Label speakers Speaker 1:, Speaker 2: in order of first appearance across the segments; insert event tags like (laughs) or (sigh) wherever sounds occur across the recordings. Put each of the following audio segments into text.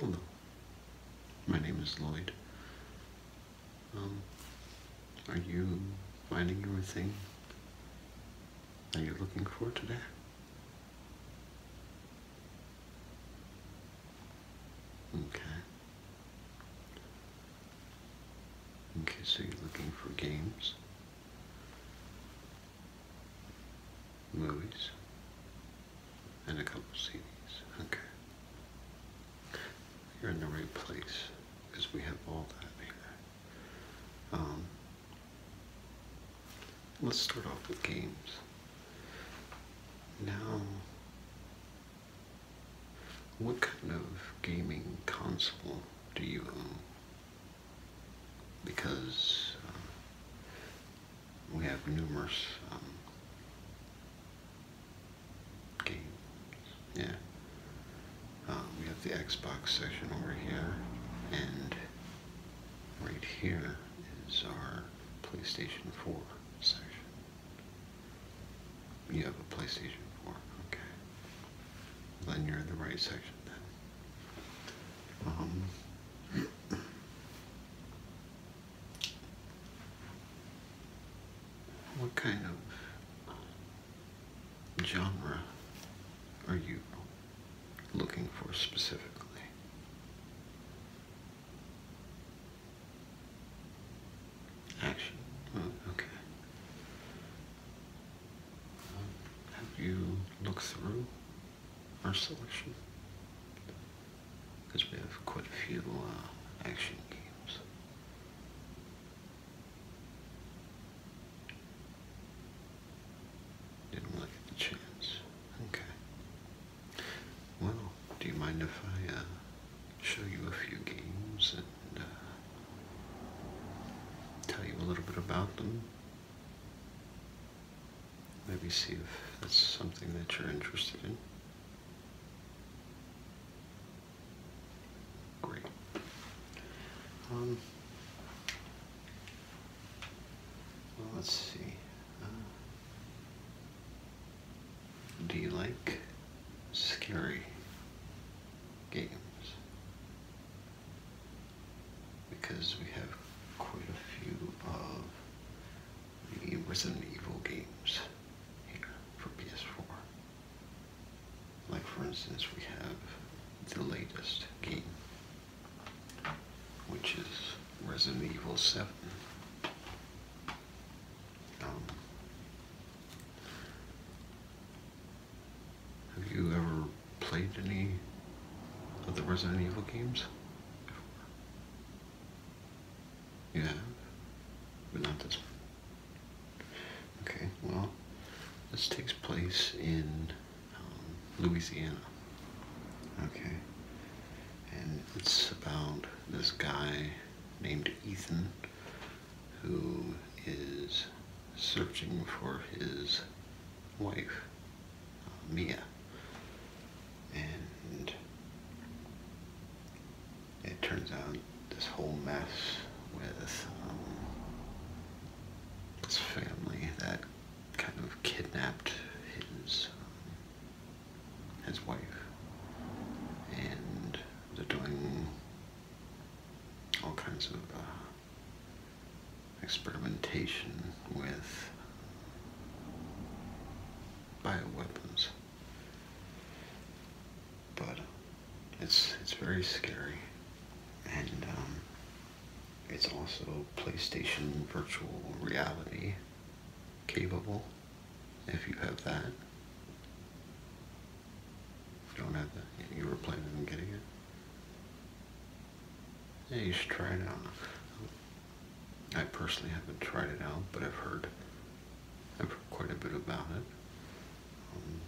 Speaker 1: Hello, my name is Lloyd. Um, are you finding everything? thing that you're looking for today? Okay. Okay, so you're looking for games movies and a couple of CDs. Okay. You're in the right place because we have all that here. Um, let's start off with games. Now, what kind of gaming console do you own? Because um, we have numerous um, games. Yeah. Uh, we have the Xbox section over here, and right here is our PlayStation 4 section. You have a PlayStation 4, okay. Then you're in the right section then. Um, what kind of genre are you looking for specifically? Action. Oh, okay. Have you looked through our selection because we have quite a few uh, action games. Didn't really get the chance. Okay. Well, do you mind if I uh, show you a few games and uh, tell you a little bit about them? maybe see if that's something that you're interested in. Great. Um, let's see. Uh, do you like scary games? because we have quite a few of the Resident Evil games here for PS4. Like for instance, we have the latest game, which is Resident Evil 7. Um, have you ever played any of the Resident Evil games before? You have? But not this one. Okay, well, this takes place in um, Louisiana. Okay. And it's about this guy named Ethan who is searching for his wife, uh, Mia. And it turns out this whole mess with um, his family that kind of kidnapped his um, his wife and they're doing all kinds of uh, experimentation with bioweapons. But it's it's very scary, and um, it's also PlayStation virtual reality capable. If you have that, don't have that. You were planning on getting it. Yeah, you should try it out. I personally haven't tried it out, but I've heard, I've heard quite a bit about it. Um,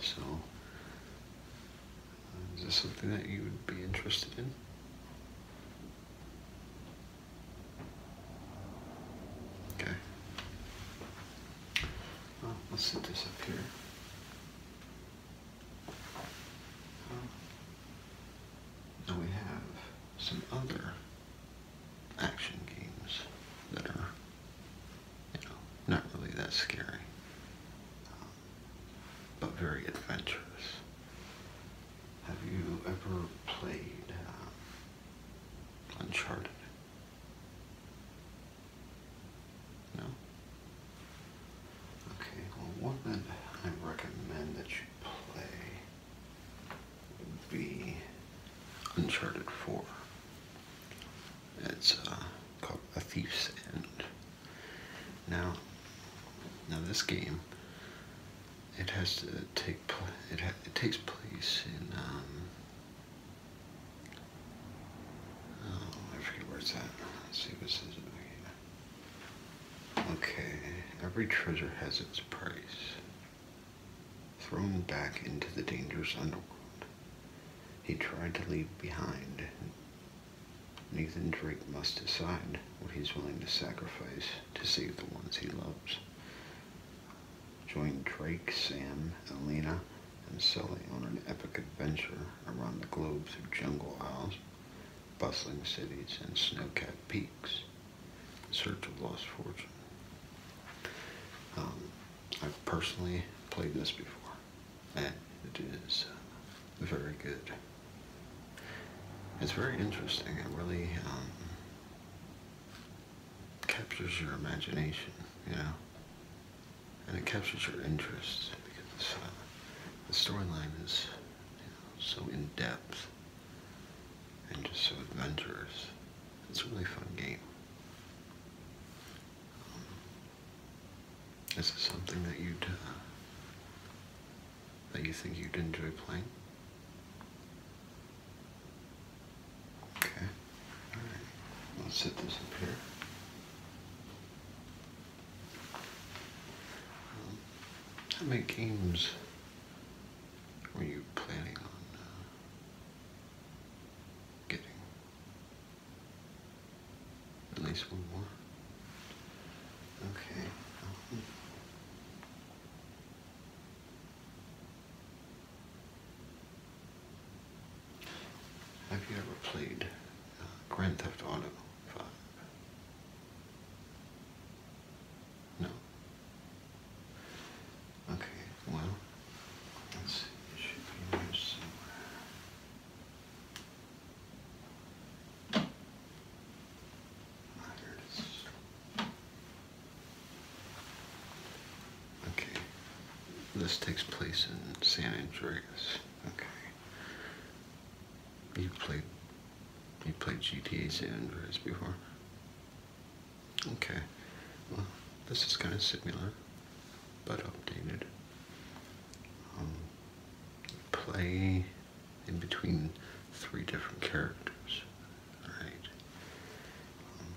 Speaker 1: so, uh, is this something that you would be interested in? Okay. let's set this up here. Now we have some other action games that are, you know, not really that scary, um, but very adventurous. Have you ever played uh, Uncharted? No? Okay, well, one that I recommend that you play would be Uncharted 4. It's uh, called A Thief's End. Now, now this game, it has to take it, it takes place in um, Oh, I forget where it's at. Let's see what's this is. Okay, every treasure has its price. Thrown back into the dangerous underworld, he tried to leave behind. Nathan Drake must decide what he's willing to sacrifice to save the ones he loves. Join Drake, Sam, Elena, and Sully on an epic adventure around the globe through jungle aisles, bustling cities, and snow-capped peaks in search of lost fortune. Um, I've personally played this before, and it is uh, very good. It's very interesting. It really um, captures your imagination, you know and it captures your interest because uh, the storyline is so in depth and just so adventurous. It's a really fun game. Um, is this something that you uh, that you think you'd enjoy playing? Okay, all right. Let's set this up here how many games were you planning on uh, getting? At least one more. Okay. Um, have you ever played uh, Grand Theft Auto 5? No. Okay, well, let's see, it should be here somewhere. Ah, here Okay, this takes place in San Andreas. Okay. You played you played GTA San Andreas before? Okay. Well, this is kind of similar, but updated. Um, play in between three different characters. Alright. Um,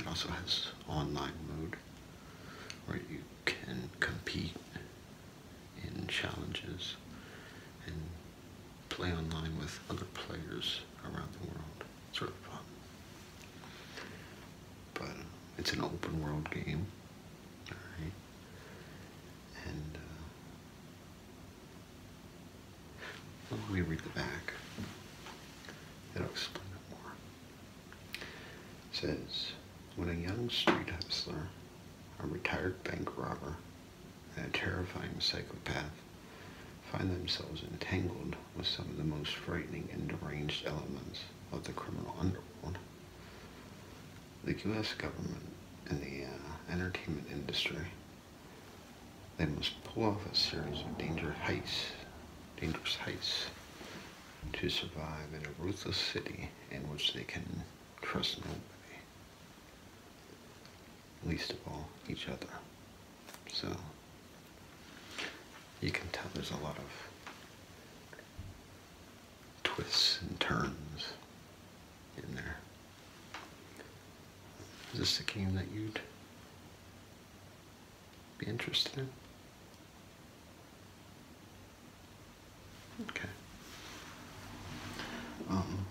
Speaker 1: it also has online mode where you can compete in challenges and play online with other players around the world. It's really fun. But it's an open world game, all right? And uh, read the back. It'll explain it more says, when a young street hustler, a retired bank robber, and a terrifying psychopath find themselves entangled with some of the most frightening and deranged elements of the criminal underworld, the U.S. government and the uh, entertainment industry, they must pull off a series of dangerous heists, dangerous heists to survive in a ruthless city in which they can trust nobody, least of all each other. So you can tell there's a lot of twists and turns in there. Is this a game that you'd be interested in? Okay. Um,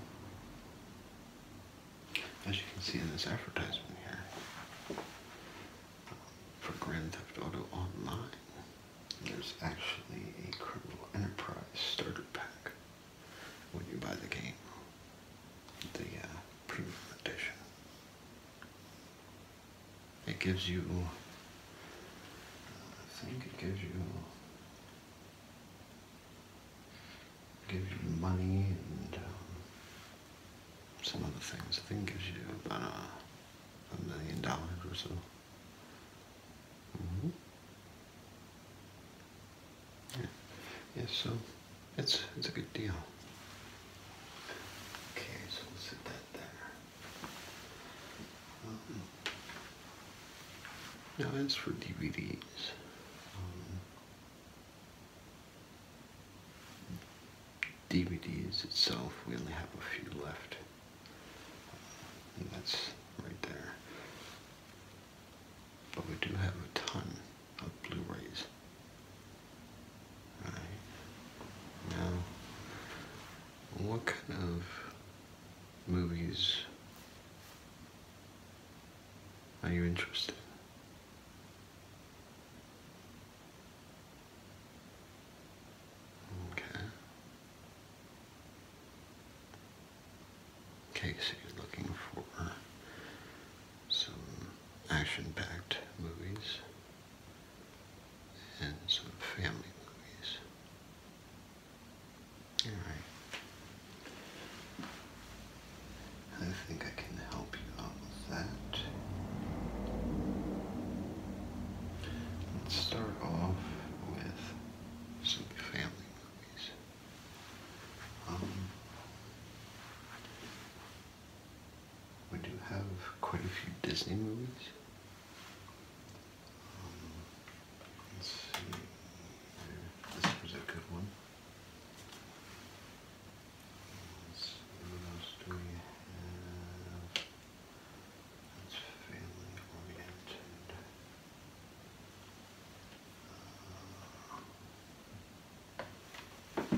Speaker 1: as you can see in this advertisement here um, for Grand Theft Auto Online, there's actually a Criminal Enterprise starter pack when you buy the game, the uh, premium edition it gives you, I think it gives you, gives you money and um, some other things. I think it gives you about a, million dollars or so. Mm-hmm. yeah. yeah, so it's, it's a good deal. Okay, so we'll sit that there now as for DVDs, DVDs itself, we only have a few left. and that's right there. But we do have a ton of Blu-rays. Now, what kind of movies are you interested in? Okay, so you're looking for some action-packed movies and some family movies. Alright. I think I can help you out with that. Let's start off with some family movies. Um, we do have quite a few Disney movies. Um, let's see. This was a good one. what else do we have? That's family oriented. Uh,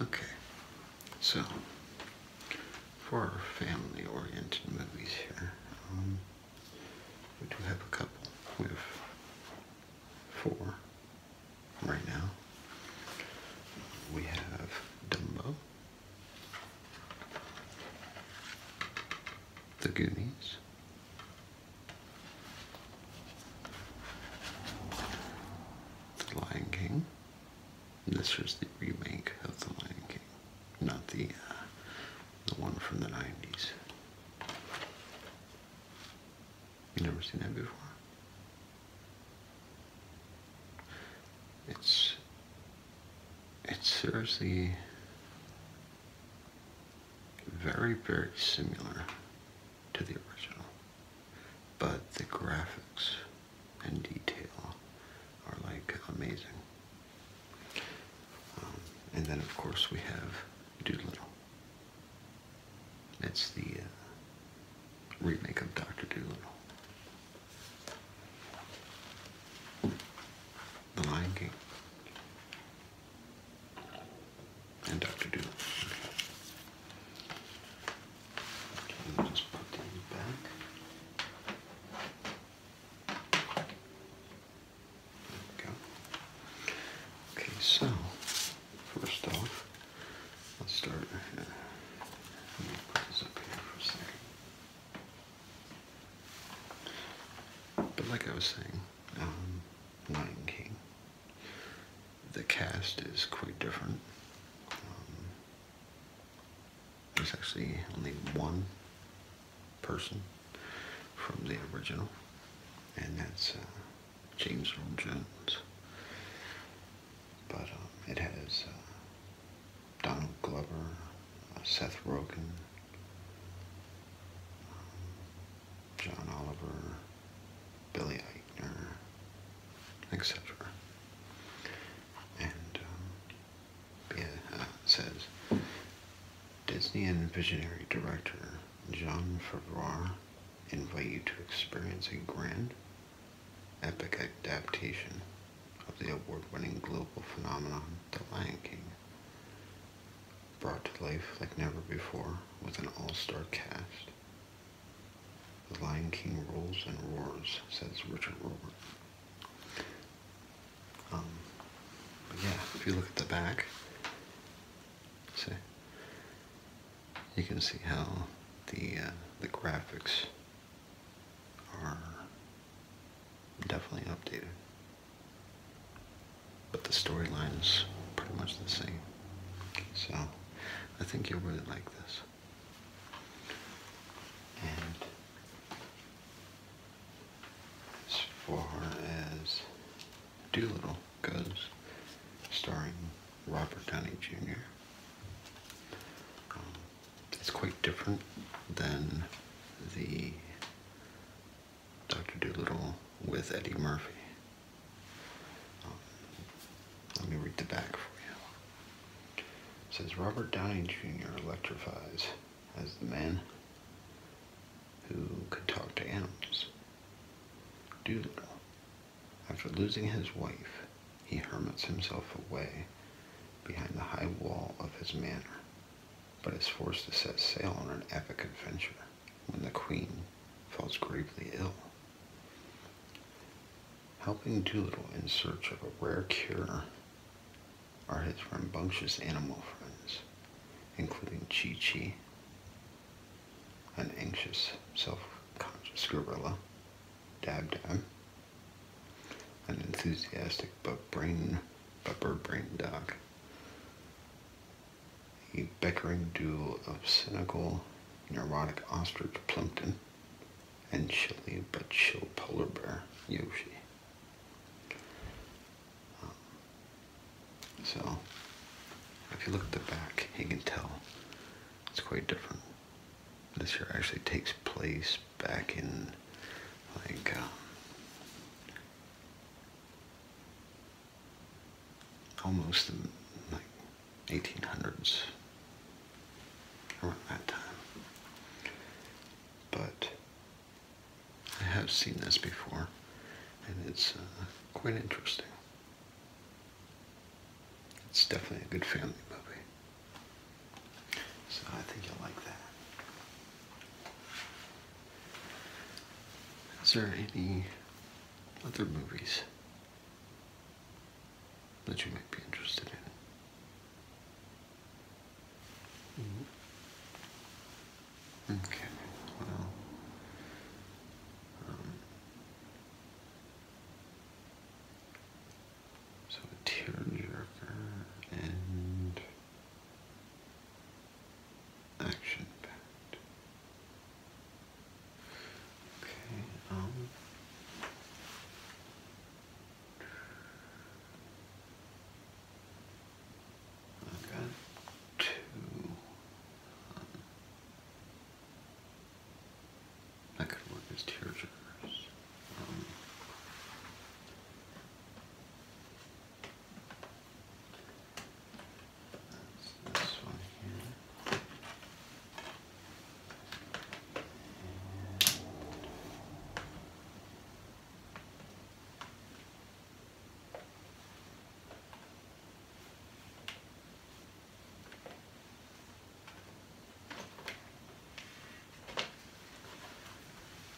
Speaker 1: Okay, so for our family oriented movies here, um, we do have a couple. We have four right now. We have Dumbo, The Goonies, The Lion King. This was the remake of The Lion King, not the uh, the one from the 90s you never seen that before. It's it's seriously very, very similar to the original, but the graphics and detail are like amazing. Um, and then, of course, we have Doolittle. It's the uh, remake of Doctor Doolittle. The Lion King. And Doctor Doolittle. just put these back. There we go. Okay, so first off, let's start. But like I was saying, um, Lion King. The cast is quite different. Um, there's actually only one person from the original, and that's. Uh, James Earl Jones. But um, it has uh, Donald Glover, uh, Seth Rogen, um, John Oliver, Billy Eichner, etc. And um, uh, says Disney and visionary director John Favreau invite you to experience a grand, epic adaptation of the award-winning global phenomenon The Lion King, brought to life like never before with an all-star cast. The Lion King rolls and roars, says Richard Robert. Um, but yeah, if you look at the back, so you can see how the uh, the graphics are definitely updated, but the storyline is pretty much the same. So I think you'll really like this. And as far as Doolittle goes, starring Robert Downey Jr. Um, it's quite different than the Dr. Doolittle with Eddie Murphy. Um, let me read the back for you. It says Robert Downey Jr. electrifies as the man who could talk to animals. Doolittle after losing his wife, he hermits himself away behind the high wall of his manor, but is forced to set sail on an epic adventure when the queen falls gravely ill. Helping Doolittle in search of a rare cure are his rambunctious animal friends, including Chi Chi, an anxious, self-conscious gorilla, Dab Dab, an enthusiastic but brain but brain dog, a bickering duo of cynical, neurotic ostrich Plimpton, and chilly but chill polar bear Yoshi. Um, so, if you look at the back, you can tell it's quite different. This here actually takes place back in, like, um, almost in, like, 1800s, around that time. But, I have seen this before, and it's uh, quite interesting. It's definitely a good family movie. So I think you'll like that. Is there any other movies that you might be interested in? Mm-hmm. Okay, um, so a tearjerker and action packed. Okay, um i two that could work as tear jerkers. Um, that's this one here.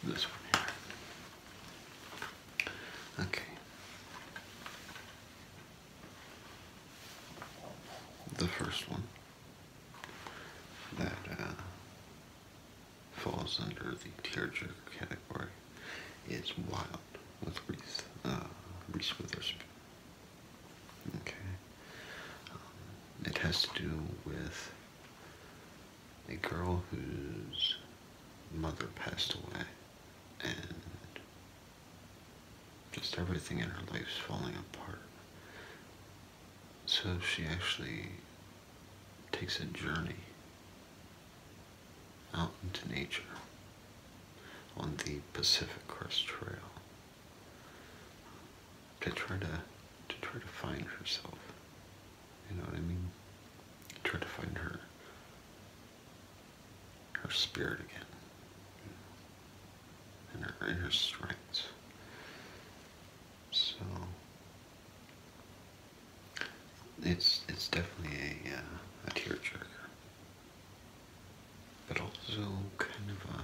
Speaker 1: This one here. Okay. The first one that uh, falls under the tearjerker category it's Wild with Reese, uh, Witherspoon. Okay. Um, it has to do with a girl whose mother passed away and just everything in her life is falling apart. So she actually takes a journey out into nature on the Pacific Crest Trail to try to to try to find herself. You know what I mean? Try to find her her spirit again. and her inner strength. So it's it's definitely a uh, a tearjerker but also kind of a,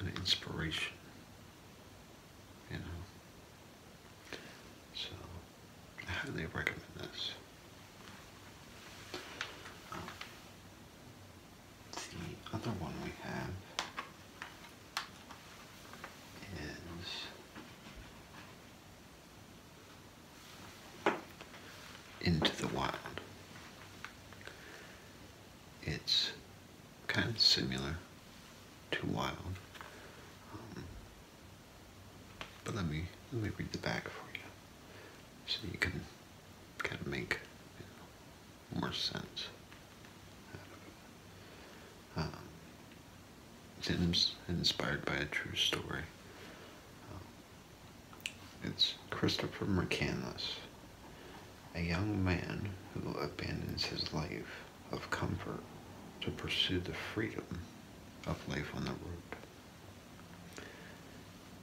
Speaker 1: an inspiration, you know. So I highly recommend this. Um, the other one we have is into the wild. It's kind of similar to wild, um, but let me let me read the back for you, so you can kind of make you know, more sense it's inspired by a true story. Um, it's Christopher McCandless, a young man who abandons his life of comfort to pursue the freedom of life on the road.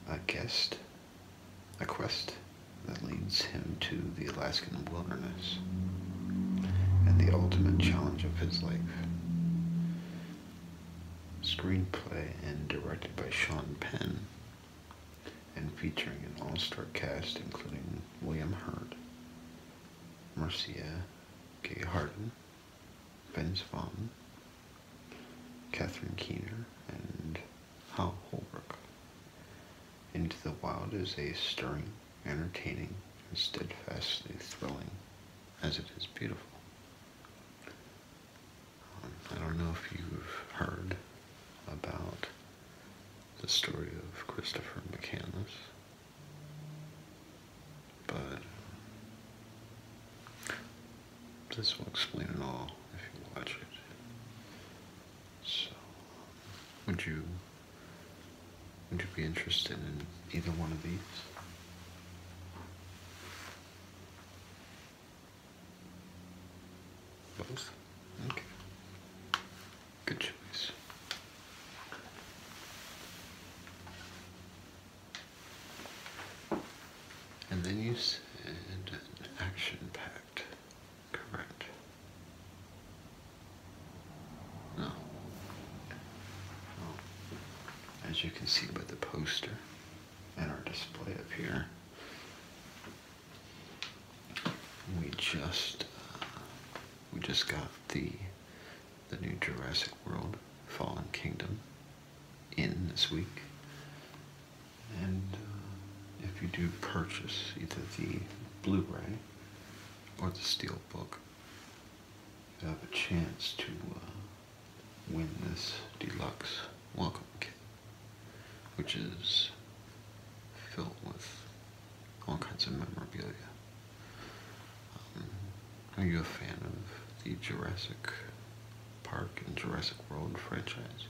Speaker 1: A quest, a quest that leads him to the Alaskan wilderness and the ultimate challenge of his life. Screenplay and directed by Sean Penn, and featuring an all star cast including William Hurt, Marcia Gay Harden, Vince Vaughn, Catherine Keener, and Hal Holbrook. Into the Wild is a stirring, entertaining, and steadfastly thrilling as it is beautiful. I don't know if you've heard about the story of Christopher McCandless, but this will explain it all if you watch it. So, would you would you be interested in either one of these? Both? Okay. Good choice. And then you said action packed, correct? No. Oh as you can see by the poster and our display up here, we just uh, we just got the the new Jurassic World Fallen Kingdom in this week, and uh, if you do purchase either the Blu-ray or the Steelbook you have a chance to uh, win this deluxe welcome kit, which is filled with all kinds of memorabilia. Um, are you a fan of the Jurassic Park and Jurassic World franchise?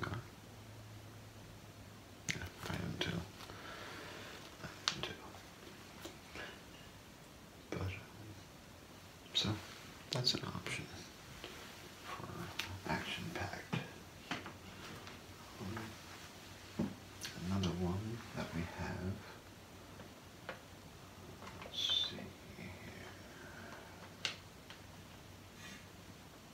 Speaker 1: No. I am I am But, so, that's an option for action-packed. another one that we have. Let's see here.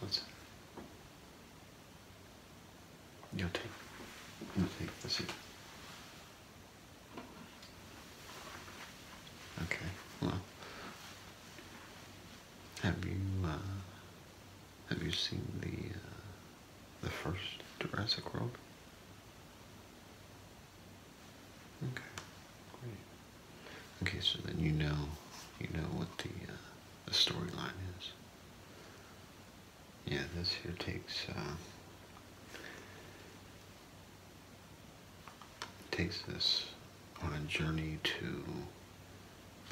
Speaker 1: That's it. Your That's it. Okay. Well, have you uh, have you seen the uh, the first Jurassic World? Okay, great. Okay, so then you know, you know what the, uh, the storyline is. Yeah, this here takes, uh, takes this on a journey to,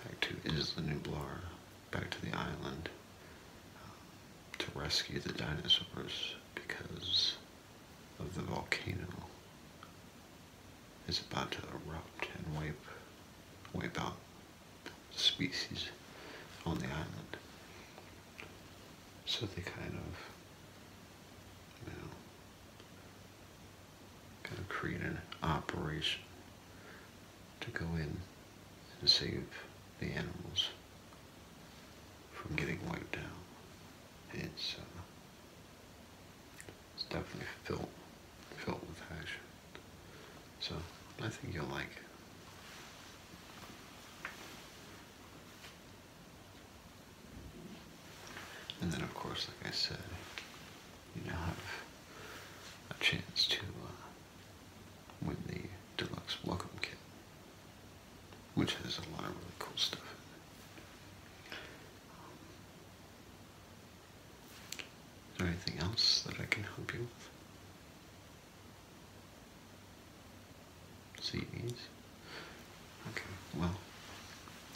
Speaker 1: back to Isla Nublar back to the island um, to rescue the dinosaurs because of the volcano is about to erupt and wipe, wipe out species on the island. So they kind of, you know, kind of create an operation to go in and save the animals from getting wiped out. It's, uh, it's definitely filled, filled with action. So I think you'll like it. And then, of course, like I said, you now have a chance to uh, with the deluxe welcome kit, which has a lot of really cool stuff in it. is there anything else that I can help you with? CDs? Okay, well,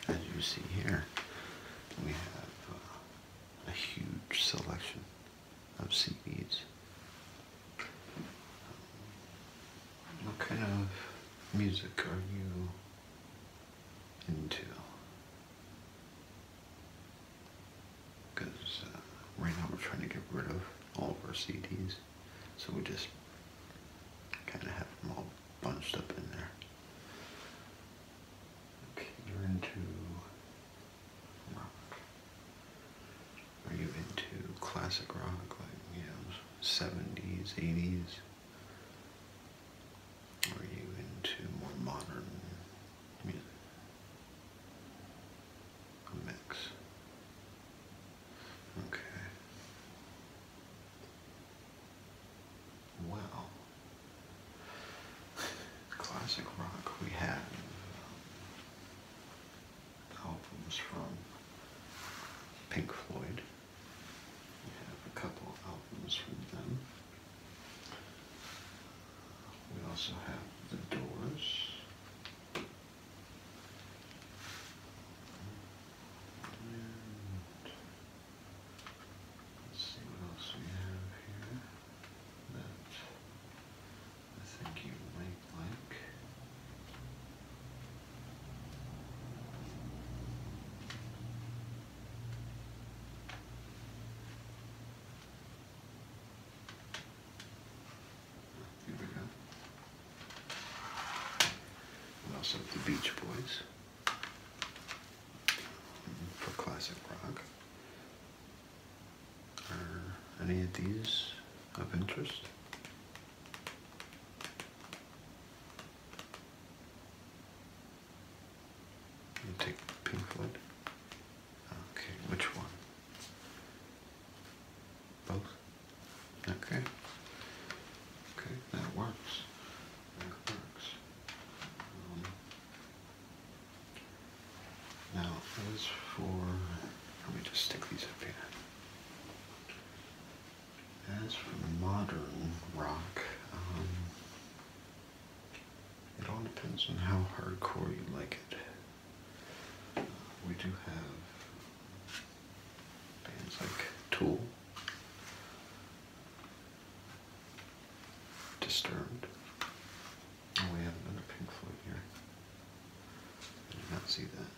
Speaker 1: as you see here, we have uh, a huge selection of seaweeds. What kind of music are you into? Because uh, right now we're trying to get rid of all of our CDs, so we just kind of have them all bunched up in there. Okay, you're into rock? Are you into classic rock, like, you know, 70s, 80s? Are you into more modern music? A mix. Okay. Wow. (laughs) classic rock we had albums from Pink Floyd. We have a couple albums from them. We also have The Doors. let's see what else we have here. I think you might like. Here we go. also the Beach Boys for classic rock. Are any of these of interest? You take Pink Okay, which one? Both. Okay. Okay, that works. That works. Um, now, as for, let me just stick these up here. As for modern rock, um, it all depends on how hardcore you like it. Uh, we do have bands like Tool, Disturbed, Oh, we have another Pink Floyd here. I did not see that.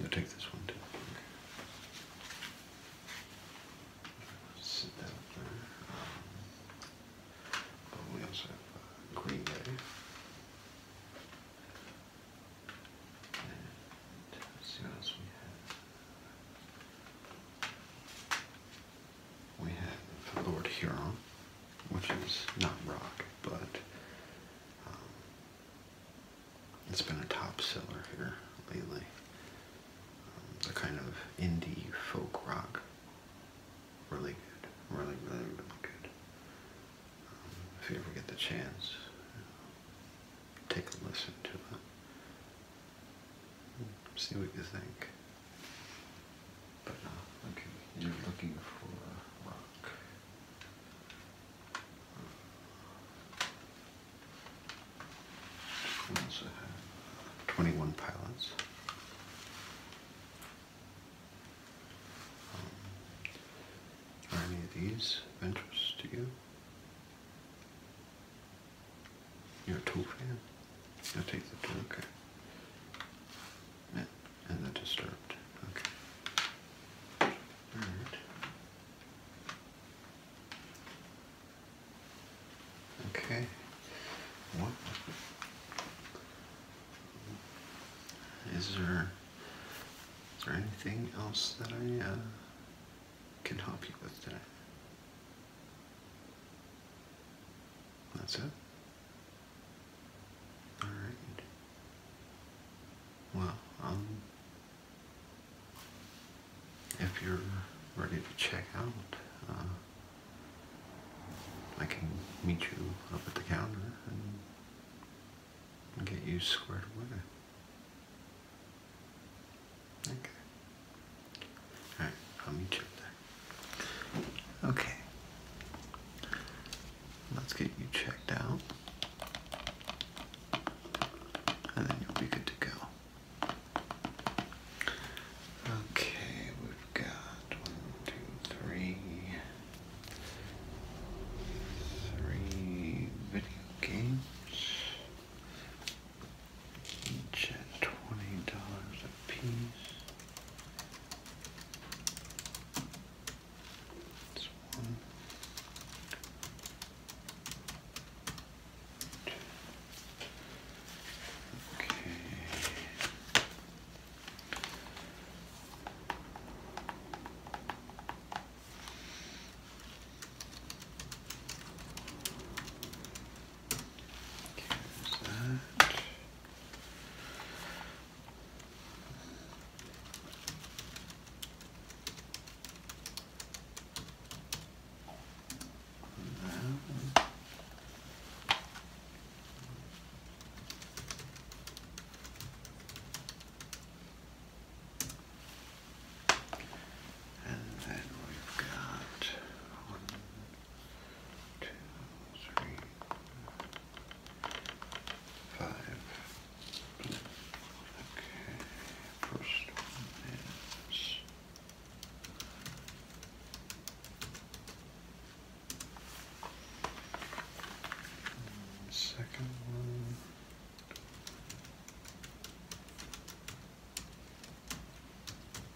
Speaker 1: You'll take this one too. Sit that there. Um, but we also have uh, And what else we have we have Lord Huron, which is not rock, but um, it's been a top seller here lately. Um, the kind of indie folk rock, really good, really, really, really good. Um, if you ever get the chance, take a listen to it. See what you think. But no, okay, you're looking for a We also have 21 pilots. Um, are any of these interesting to you? You're a tool fan? I'll take the tool, okay and the disturbed. Okay. All right. Okay. What is there? Is there anything else that I uh, can help you with today? That's it. All right. Well, um, if you're ready to check out, uh, I can meet you up at the counter and get you squared away. Okay. All right, I'll meet you there. Okay. Let's get you checked out. And then you'll be good to go. Okay, we've got one, two, three, three video games, each at twenty dollars a piece. That's one. Two. Okay. Okay, there's that. And then we've got one, two, three, five. Okay, first one second one.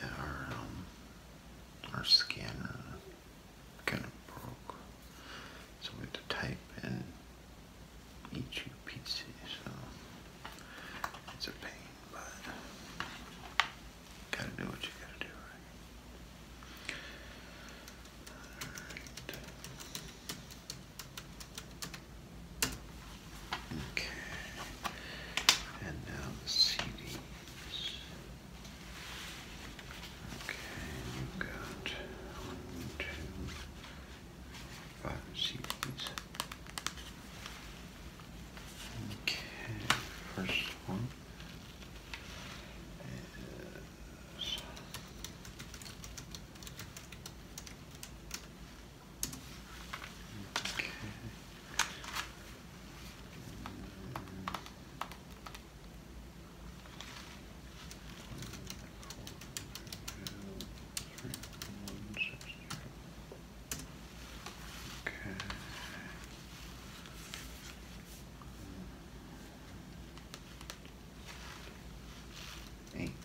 Speaker 1: Yeah, our, um, our scanner kind of broke, so we had to type in each PC, so it's a pain, but gotta do what you gotta do, Okay. And now the CDs. Okay, you've got one, two, five CDs. Okay, first one is Okay. Okay. Eight.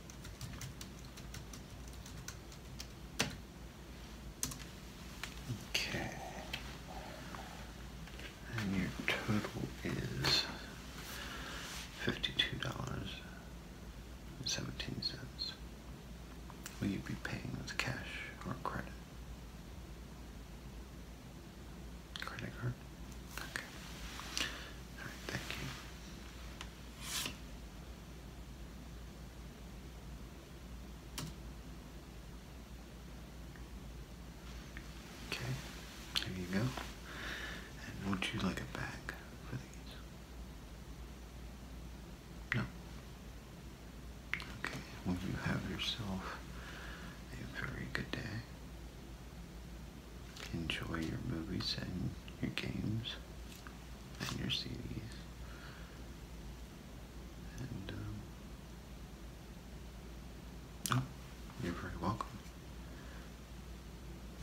Speaker 1: Okay. And your total is fifty-two dollars and seventeen cents. Will you be paying with cash or credit? Credit card? Okay. Alright, thank you. Okay, there you go. And would you like a bag for these? No. Okay, well, you have yourself a very good day. Enjoy your movies and your games and your CDs. And, you're very welcome.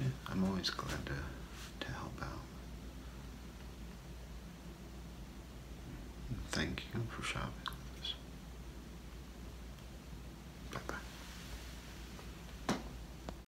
Speaker 1: Yeah, I'm always glad to, to help out. thank you for shopping with us. Bye-bye.